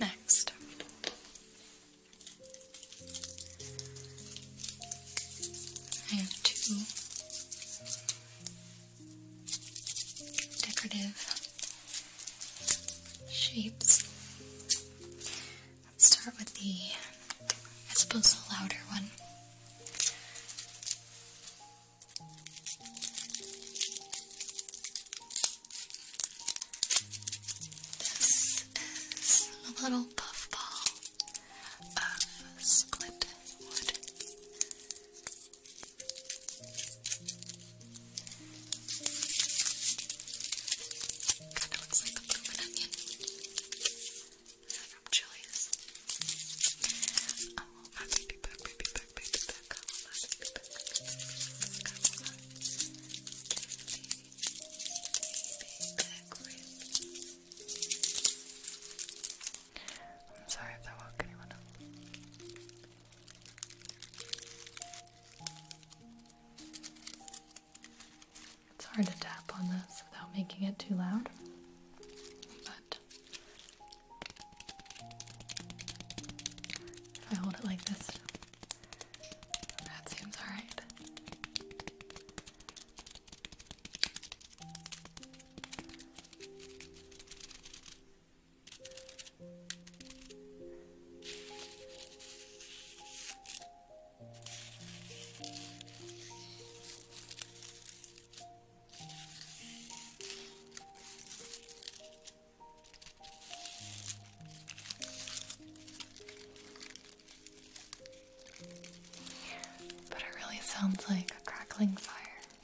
Next, I have two decorative shapes. Let's start with the, I suppose, the louder one. This is a little puffball of split wood. Kind of looks like the bloomin' onion from Chili's. I want my baby back, baby back, baby back. I want my baby back, baby back. I want my baby back, baby back. I'm sorry if that woke anyone up. It's hard to tap on this without making it too loud, but if I hold it like this, that seems alright. But it really sounds like a crackling fire.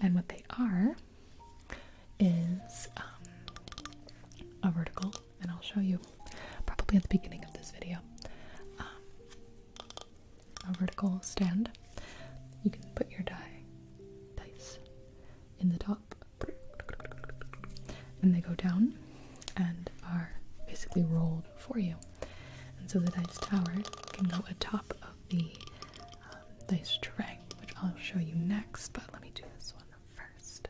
And what they are is um, a vertical, and I'll show you probably at the beginning of this video. Um, a vertical stand. You can put your die dice in the top and they go down and are basically rolled for you. And so the dice tower can go atop of the um, dice tray, which I'll show you next, but let me do this one first.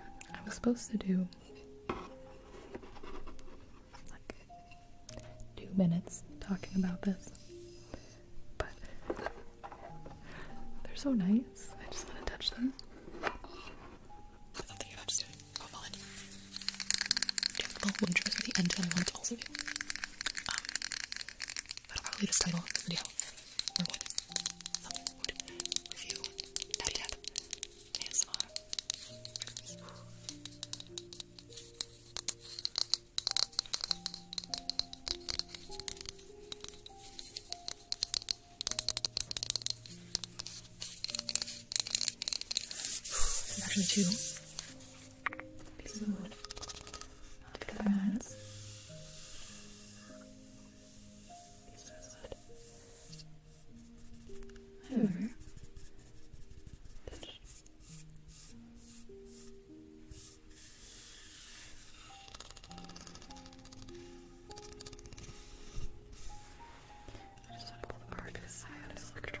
I was supposed to do like two minutes talking about this but they're so nice. I just want to touch them. Oh, well, Jungle Winters the end I want to also do. Um, that'll probably be the title of this video. Or would something would there's actually two pieces of wood. I'll take five minutes. Pieces of wood. However, touch. I just want to pull the car to the side out of control.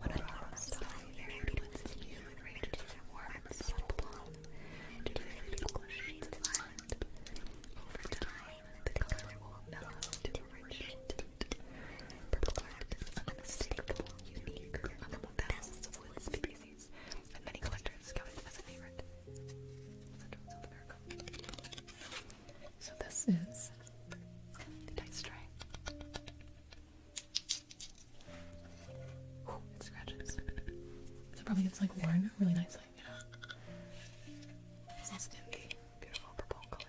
When I the very between you to their warm and shades Over time, the color will mellow to a rich tint. Purple art is unmistakable, unique, among thousands of species, and many collectors count it as a favorite. Central South America. So this is the dice tray. Ooh, it scratches. So probably gets like worn really nicely. Yeah. It's also in the beautiful purple color.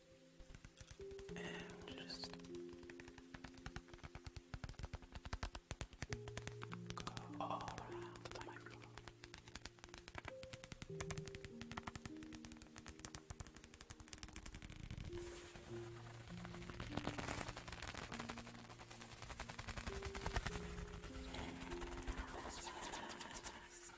And just go all around the microphone this.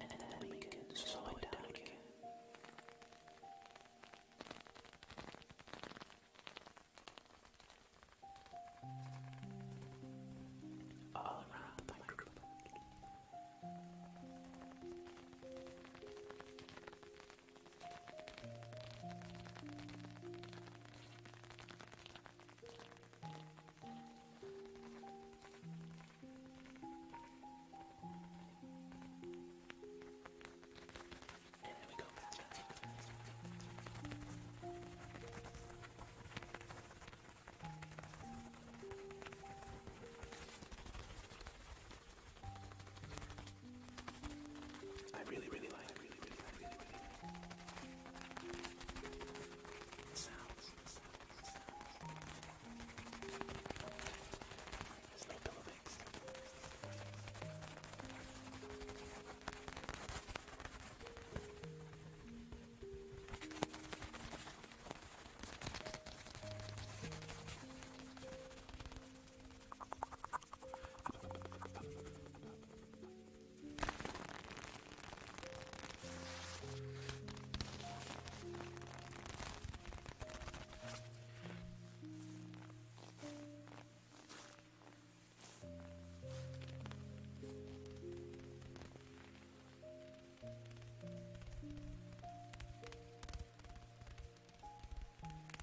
And then we can slow it down again. All around and there we go. I really, really like, really, really, really, really, really, sounds, sounds, sounds. There's no pillow banks.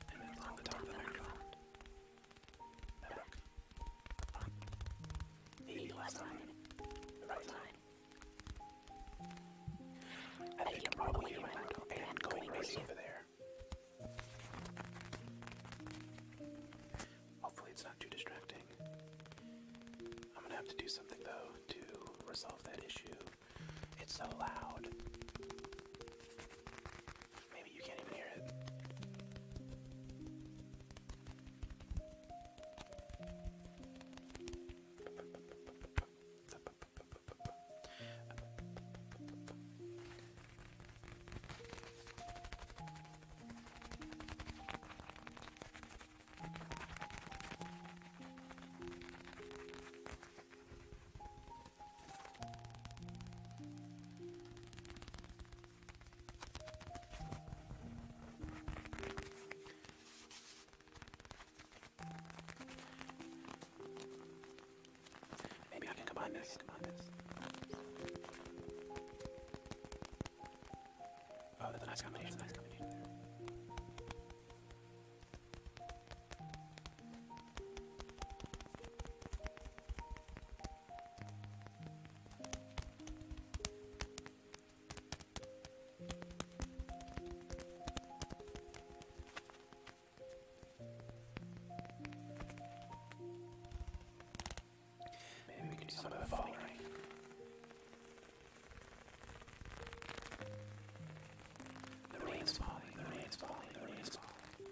And along the top of the microphone. Back. Maybe last time. The right time. I think you probably you went and going right over there. Hopefully it's not too distracting. I'm gonna have to do something though to resolve that issue. It's so loud. Maybe you can't even hear it. Maybe I can combine this, Oh, that's a nice combination, Maybe we can do some of the following. The rain's falling, the rain's falling, the rain's falling.